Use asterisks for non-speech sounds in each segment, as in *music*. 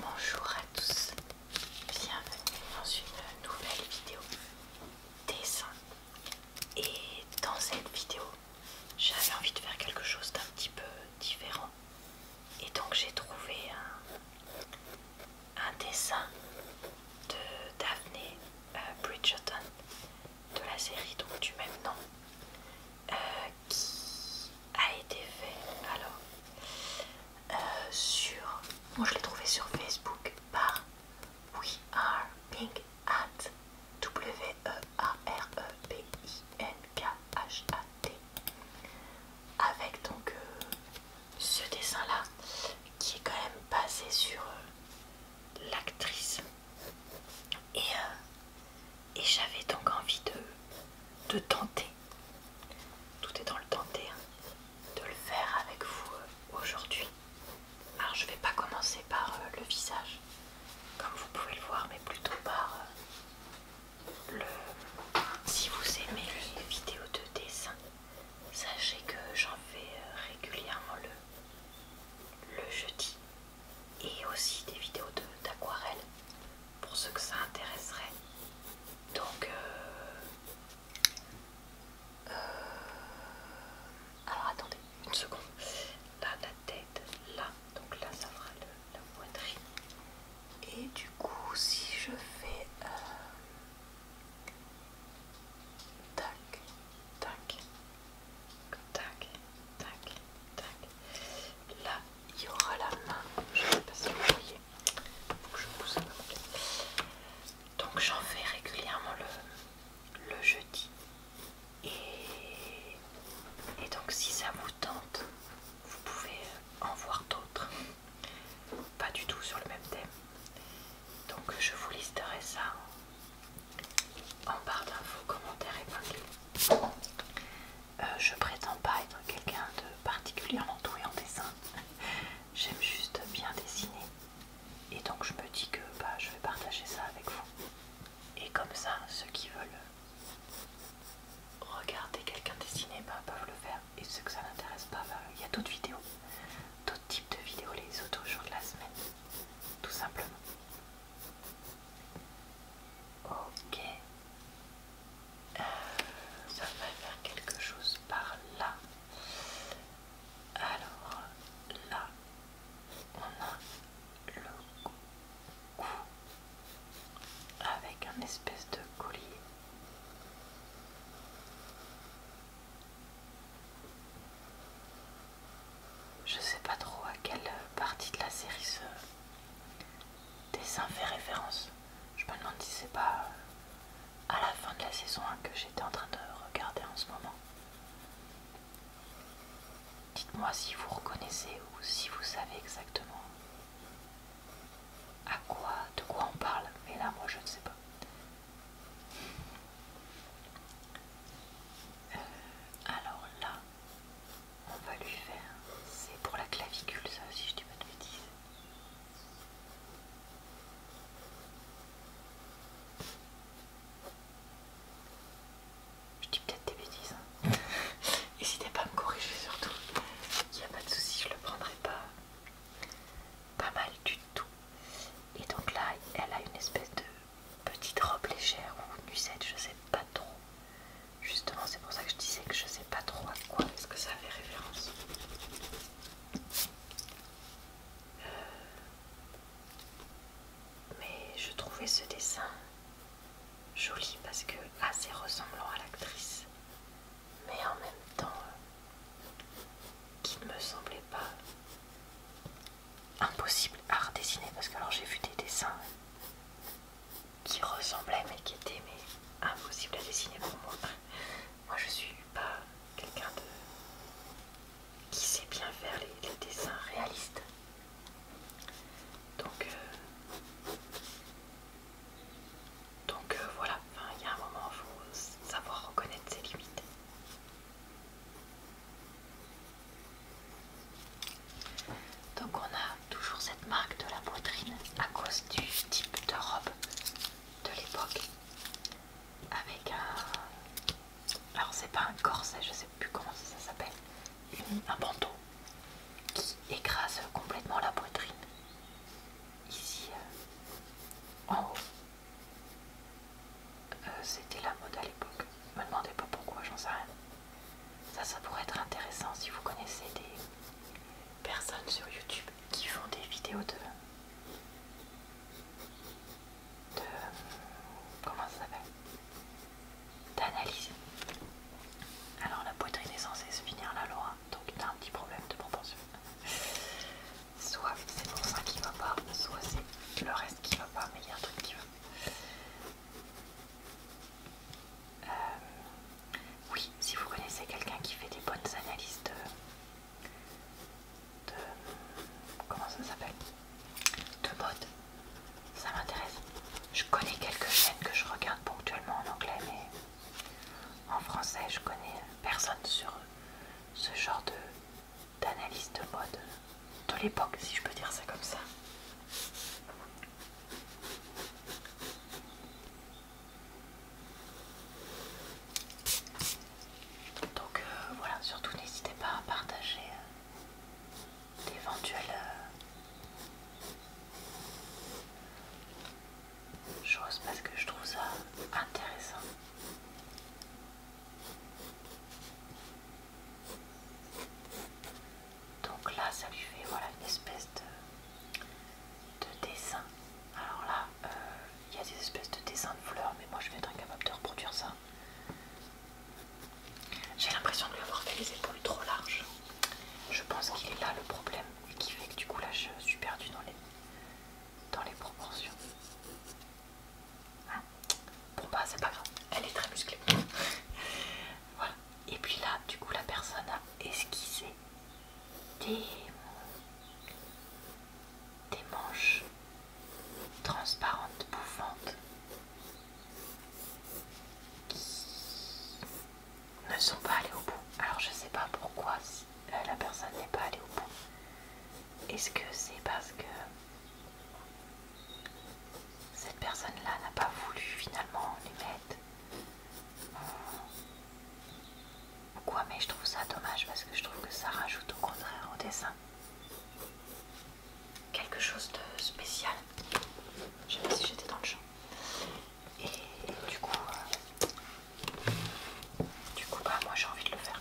Bonjour à tous, bienvenue dans une nouvelle vidéo dessin et dans cette vidéo j'avais envie de faire quelque chose d'un petit peu différent et donc j'ai trouvé un, dessin de Daphne euh, Bridgerton de la série donc du même nom euh, qui a été fait alors euh, sur moi je l'ai trouvé sur Facebook par We Are Pink At W E A R E P I N K H A T avec donc euh, ce dessin là qui est quand même basé sur euh, l'actrice et, et j'avais donc envie de, de tenter tout est dans le tenté hein, de le faire avec vous euh, aujourd'hui. Alors je ne vais pas commencer par euh, le visage, comme vous pouvez le voir, mais plutôt par euh, le... Si vous aimez les vidéos de dessin, sachez que j'en fais régulièrement le, le jeudi et aussi des vidéos d'aquarelle pour ceux que ça intéresserait. Donc, euh, euh, alors attendez une seconde. Là, la tête, là, donc là, ça fera la poitrine. Et du coup, si je fais euh, tac, tac, tac, tac, tac, là, il y aura la main. Je pas si vous donc j'en fais régulièrement le, jeudi. Et, et donc si ça vous tente, vous pouvez en voir d'autres. Pas du tout sur le même thème. Donc je vous listerai ça en barre d'infos, commentaires épinglés. Euh, je prétends pas être quelqu'un de particulièrement doué en dessin. *laughs* J'aime juste bien dessiner. Et donc je me dis que bah, je vais partager ça avec vous. Et comme ça, ceux qui veulent regarder quelqu'un dessiner bah, peuvent le faire. Et ceux que ça n'intéresse pas, bah, il y a d'autres vidéos. D'autres types de vidéos, les autres jours de la semaine. Tout simplement. Ok. Euh, ça va faire quelque chose par là. Alors là, on a le cou avec un espèce de collier. Je sais pas trop à quelle partie de la série ce dessin fait référence. Je me demande si c'est pas euh, à la fin de la saison 1 que j'étais en train de regarder en ce moment. Dites-moi si vous reconnaissez ou si vous savez exactement à quoi, de quoi on parle, mais là moi je ne sais pas. Euh, alors là, on va lui faire. C'est pour la clavicule, ça, si je dis pas de bêtises. Je dis peut-être des bêtises. Hein. *laughs* N'hésitez pas à me corriger surtout. Il n'y a pas de souci, je le prendrai pas. Pas mal du tout. Et donc là, elle a une espèce de petite robe légère ou nuisette, je sais pas trop. Justement, c'est pour ça que je disais que je sais pas trop à quoi est-ce que ça fait référence. Euh, mais je trouvais ce dessin joli parce que assez ressemblant à l'actrice, mais en même temps euh, qui ne me semblait pas impossible à redessiner parce que alors j'ai vu des dessins qui ressemblait mais qui était impossible à dessiner pour moi. Moi je suis pas quelqu'un de qui sait bien faire les, dessins réalistes. Donc euh, donc euh, voilà, il y a un moment il faut savoir reconnaître ses limites. Donc on a toujours cette marque de la poitrine à cause du type de robe de l'époque. Avec un... Alors c'est pas un corset, je sais plus comment ça s'appelle. Un bandeau qui écrase complètement la poitrine. Ici, euh, en haut. Euh, c'était la mode à l'époque. Me demandez pas pourquoi, j'en sais rien. Ça, ça pourrait être intéressant si vous connaissez des personnes sur YouTube qui font des vidéos de... de... comment ça s'appelle D'analyse. Alors la poitrine est censée se finir là, Laura, donc t'as un petit problème de propension. Soit c'est pour ça qui va pas, soit c'est le reste qui va pas, mais il y a un truc qui va. Euh, oui, si vous connaissez quelqu'un qui fait des bonnes analyses de... de comment ça s'appelle De mode, ça m'intéresse. Je connais quelques chaînes que je regarde ponctuellement en anglais, mais en français, je connais personne sur ce genre d'analyse de, de mode de l'époque, si je peux dire ça comme ça. Donc euh, voilà, surtout n'hésitez pas à partager euh, d'éventuelles euh, choses parce que je trouve ça intéressant. Donc là, ça lui fait voilà, une espèce de, de dessin. Alors là, euh, il y a des espèces de dessins de fleurs, mais moi je vais être capable de reproduire ça. J'ai l'impression de lui avoir fait les épaules trop larges. Je pense qu'il est là le problème et qui fait que du coup là je suis perdue dans les, dans les proportions. Hein bon bah c'est pas grave, elle est très musclée. Voilà. Et puis là, du coup, la personne a esquissé des, manches transparentes, bouffantes, qui ne sont pas allées au bout. Alors je sais pas pourquoi euh, la personne n'est pas allée au bout. Est-ce que c'est parce que cette personne-là n'a pas voulu finalement les mettre pourquoi euh, mais je trouve ça dommage parce que je trouve que ça rajoute au contraire au dessin quelque chose de spécial. Je sais pas si j'étais dans le champ. Et du coup, euh, du coup, bah moi j'ai envie de le faire.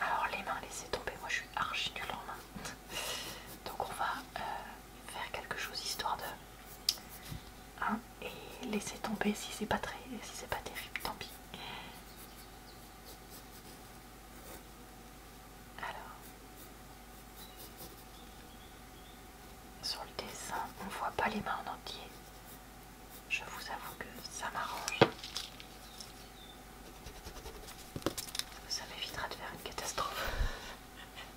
Alors les mains, laisser tomber. Moi je suis archi du lendemain. Donc on va euh, faire quelque chose histoire de hein, et laisser tomber si c'est pas très si c'est pas terrible tant pis alors sur le dessin on voit pas les mains en entier je vous avoue que ça m'arrange ça m'évitera de faire une catastrophe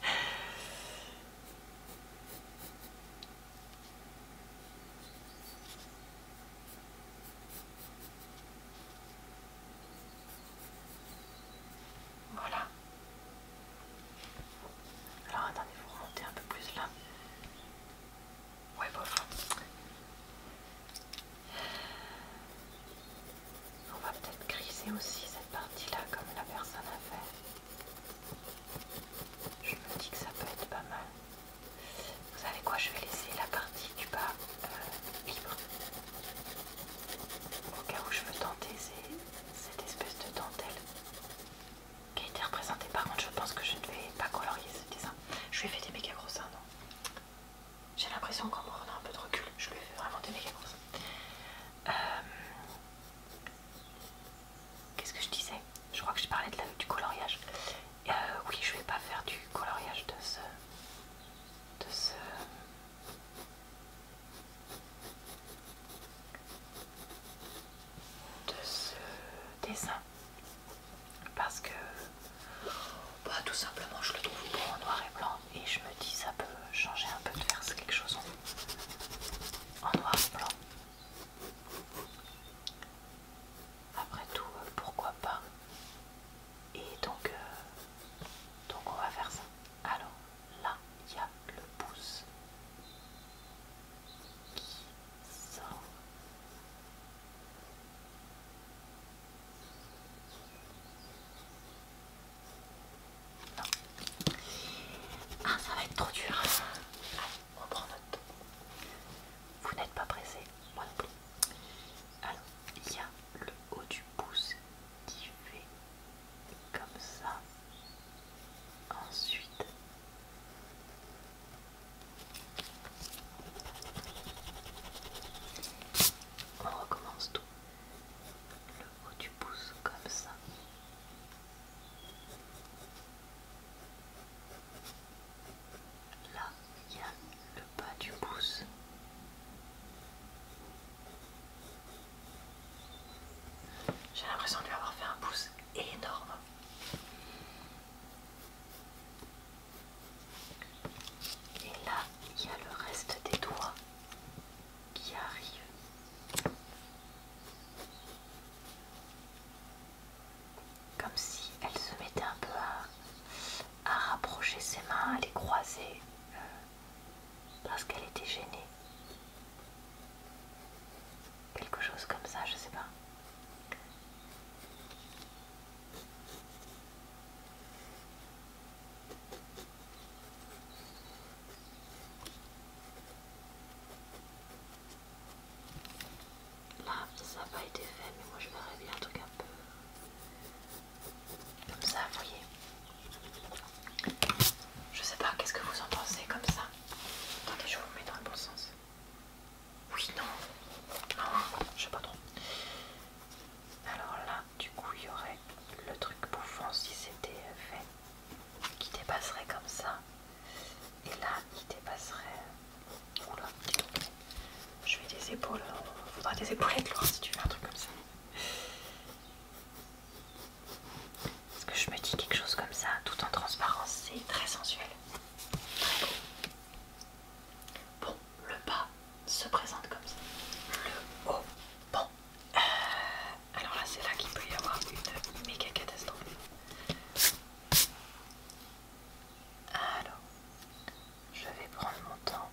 *laughs* Voilà. Alors attendez, vous remontez un peu plus là. Ouais, bof. On va peut-être griser aussi cette partie-là comme la personne a fait. Je me dis que ça peut être pas mal. Vous savez quoi, je vais laisser la partie du bas euh, libre. Au cas où je veux tenter cette espèce de dentelle qui a été représentée. Par contre, je pense que je ne vais pas colorier ce dessin. Je lui ai fait des méga gros non J'ai l'impression qu'en prenant un peu de recul, je lui ai fait vraiment des méga gros euh, Qu'est-ce que je disais Je crois que je parlais de du coloriage. Euh, oui, je vais pas faire du coloriage de ce. de ce. de dessin. Parce que. pas bah, tout simplement, je le trouve beau en noir et blanc et je me dis ça peut changer un peu de faire quelque chose en, noir et blanc. Après tout, euh, pourquoi pas Et donc, euh, donc on va faire ça. Alors là, il y a le pouce qui sort. Non. Ah, ça va être trop dur. on prend note. Vous n'êtes pas pressé, moi non plus. Alors, il y a le haut du pouce qui fait comme ça. Ensuite, on recommence tout le haut du pouce comme ça. Là, il y a le bas du pouce. J'ai l'impression de lui avoir fait un pouce énorme. Et là, il y a le reste des doigts qui arrive. Comme si elle se mettait un peu à, rapprocher ses mains, à les croiser, euh, parce qu'elle était gênée. Quelque chose comme ça, je sais pas. Là, ça n'a pas été fait, mais moi je vais réduire un truc un peu comme ça, vous voyez. Je sais pas, qu'est-ce que vous en pensez comme ça Attendez, je vous mets dans le bon sens. Oui, non, non, je sais pas trop. Alors là, du coup il y aurait le truc bouffant si c'était euh, fait qui dépasserait comme ça et là il dépasserait euh, oula dis je vais des épaules faudra hein. des épaulettes loin si tu veux un truc comme ça parce que je me dis quelque chose comme ça tout en transparence c'est très sensuel très Bon, le bas se présente comme ça. Le haut, bon, euh, alors là, c'est là qu'il peut y avoir une méga catastrophe. Alors, je vais prendre mon temps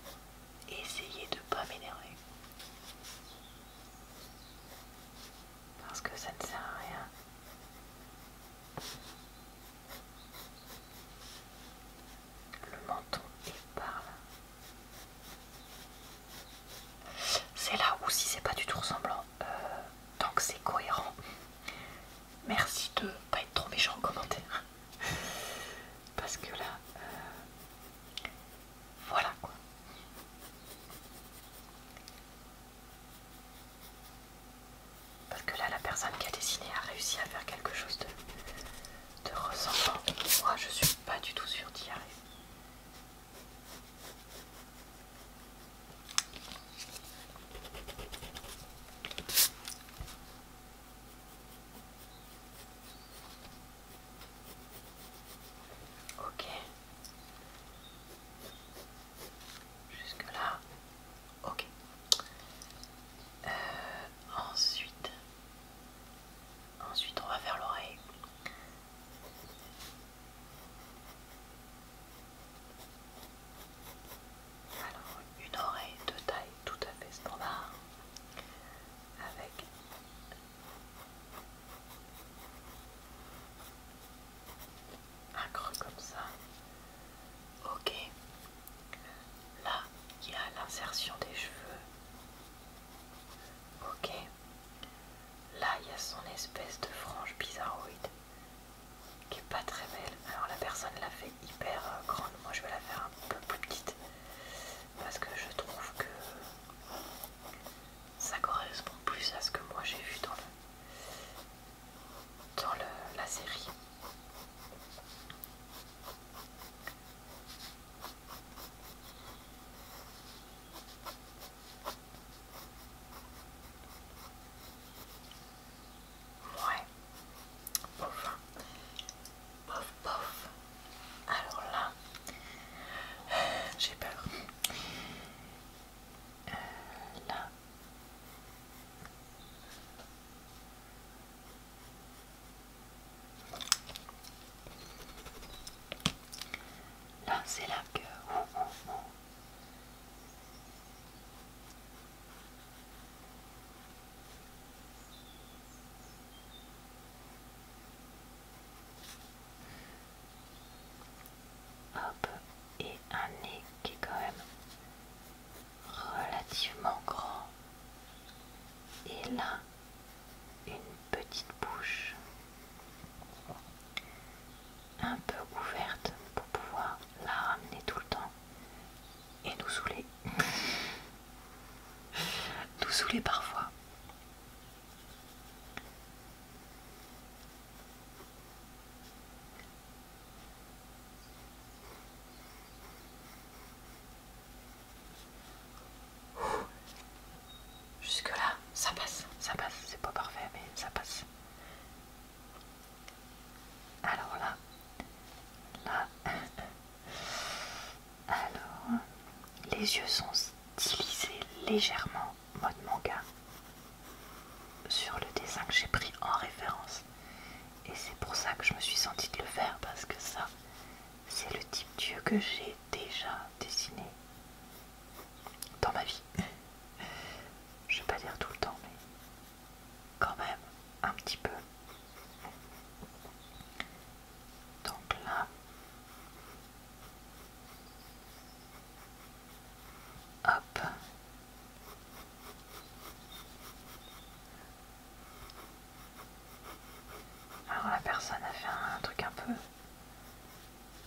et essayer de pas m'énerver. Parce que ça ne sert à rien. Le menton est par là. C'est là où si c'est pas du tout ressemblant, euh, tant que c'est cohérent. Merci de pas être trop méchant en commentaire. *laughs* Parce que là, euh, voilà quoi. Parce que là, la personne qui a dessiné a réussi à faire quelque chose de, de ressemblant. Moi, je suis pas du tout sûre d'y arriver. Ok. Jusque là. Ok. Euh, ensuite, Ensuite, on va faire l'oreille. Alors, une oreille de taille tout à fait standard avec un creux comme ça. Ok. Là, il y a l'insertion des cheveux. Ok. Là, il y a son espèce de frange bizarroïde qui est pas très belle. Alors la personne l'a fait hyper euh, grande. Moi, je vais la faire un peu plus petite parce que je trouve que ça correspond plus à ce que moi j'ai vu dans dans la série. Ouais. Bof. Bof, bof. Alors là, j'ai peur. Euh, là. Là, c'est la queue. Hop, et un nez qui est quand même relativement grand. Et là, une petite bouche un peu ouverte pour pouvoir la ramener tout le temps et nous saouler. *laughs* nous saouler parfois. Jusque là, ça passe, ça passe, c'est pas parfait mais ça passe. Alors là, là, *laughs* alors, les yeux sont stylisés légèrement mode manga sur le dessin que j'ai pris en référence. Et c'est pour ça que je me suis sentie de le faire parce que ça, c'est le type Dieu que j'ai déjà dessiné dans ma vie. Je vais pas dire tout le temps, mais quand même un petit peu. Donc là, hop, alors la personne a fait un, truc un peu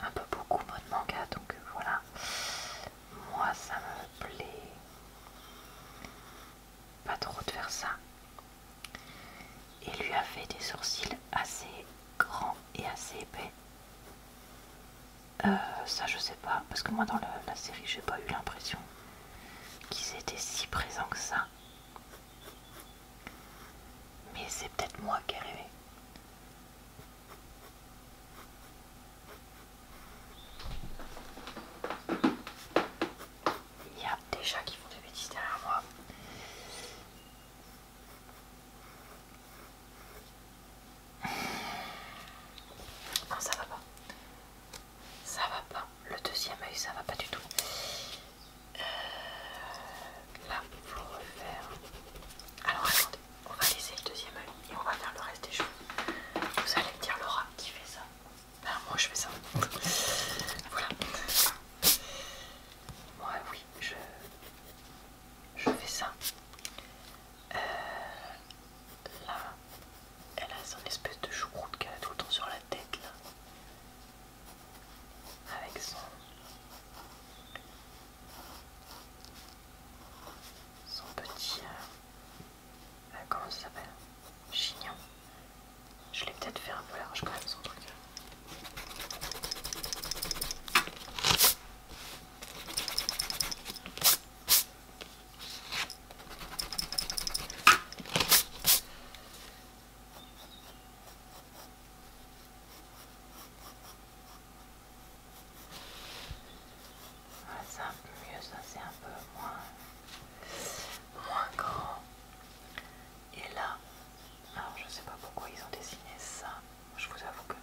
un peu beaucoup mode manga donc euh, voilà moi ça me plaît pas trop de faire ça et lui a fait des sourcils assez grands et assez épais euh, ça je sais pas parce que moi dans la série j'ai pas eu l'impression qu'ils étaient si présents que ça mais c'est peut-être moi qui ai rêvé. Il y a des chats qui font des bêtises derrière moi. Non, ça va pas. Ça va pas le deuxième œil ça va pas du tout. Euh, là, faut refaire. Alors attendez, on va laisser le deuxième œil et on va faire le reste des choses. Vous allez dire Laura qui fait ça. Ben, moi je fais ça. voilà. Moi oui, je, je fais ça. Euh, là, elle a son espèce de choucroute qu'elle a tout le temps sur la tête là avec son, petit... Euh, euh, comment ça s'appelle Chignon. Je l'ai peut-être fait un peu large quand même son truc. Ah, c'est un peu mieux, ça c'est un peu moins, moins grand. Et là, alors je ne sais pas pourquoi ils ont dessiné ça. Je vous avoue que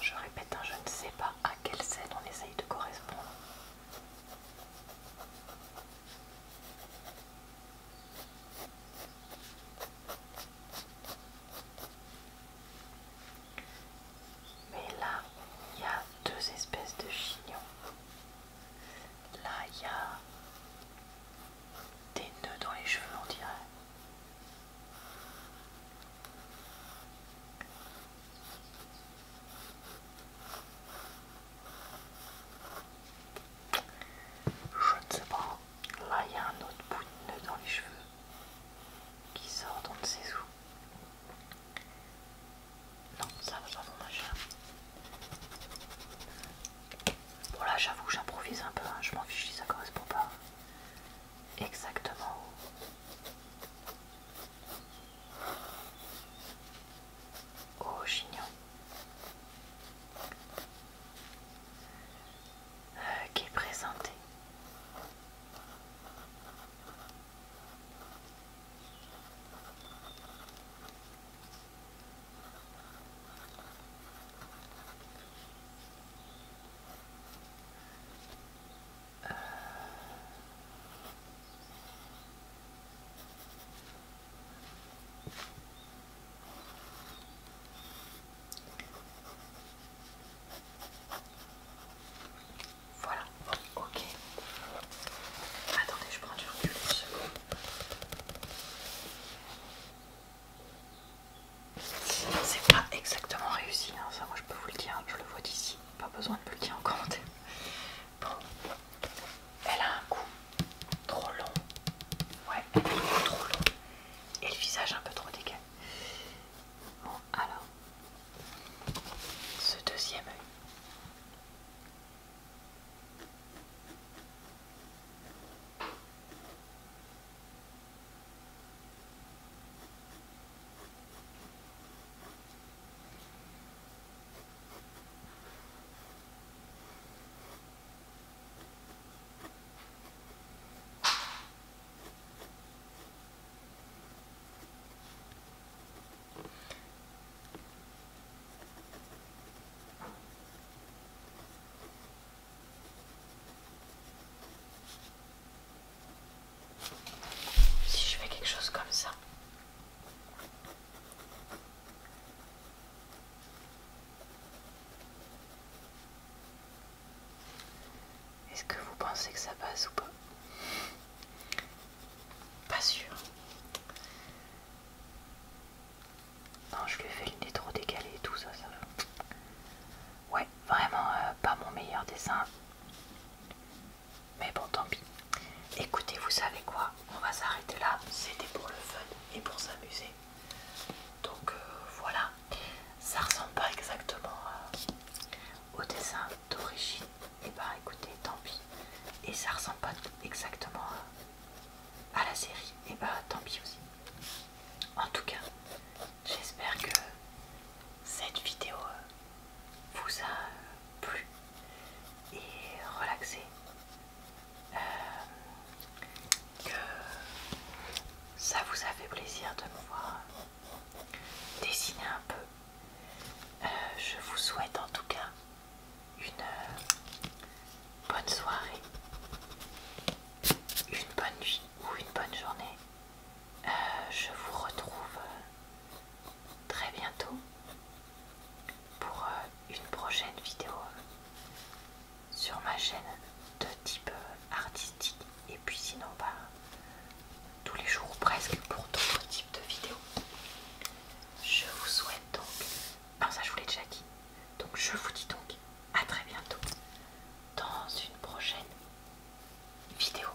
je répète, hein, je ne sais pas à quelle scène on essaye de correspondre. Mais là, il y a deux espèces de chignons. Là, il y a des nœuds dans les cheveux, on dirait. Je ne sais pas. Là, il y a un autre bout de nœud dans les cheveux qui sort dans ses sous. Non, ça va pas mon machin. Bon là j'avoue j'improvise un peu, hein. je m'en fiche si ça correspond pas exactement. Au oh, chignon. Euh, qui est présenté. Euh, voilà, ok. Attendez, je prends du recul C'est pas exactement réussi, hein. ça moi je peux vous le dire, hein. je le vois d'ici, pas besoin de me le dire en commentaire. Elle a un cou trop long. Ouais, trop long. Et le visage un peu trop décalé. Bon, alors. Ce deuxième œil. Si je fais quelque chose comme ça, est-ce que vous pensez que ça passe ou pas Pas sûr. Non, je lui ai fait le nez trop décalé et tout ça, Ouais, vraiment euh, pas mon meilleur dessin. Mais bon, tant pis. Écoutez, vous savez quoi On va s'arrêter là. C'était pour le fun et pour s'amuser. Donc euh, voilà. Ça ressemble pas exactement euh, au dessin d'origine. Et eh bah ben, écoutez, tant pis. Et ça ressemble pas exactement euh, à la série. Et eh bah ben, tant pis aussi. En tout cas, j'espère que cette vidéo vous a plu et relaxé, euh, que ça vous a fait plaisir de me voir dessiner un peu. Euh, je vous souhaite en tout cas une euh, bonne soirée, une bonne nuit ou une bonne journée. je vous retrouve très bientôt pour euh, une prochaine vidéo sur ma chaîne de type euh, artistique et puis sinon pas bah, tous les jours presque pour d'autres types de vidéos. Je vous souhaite donc, enfin ça je vous l'ai déjà dit, donc je vous dis donc à très bientôt dans une prochaine vidéo.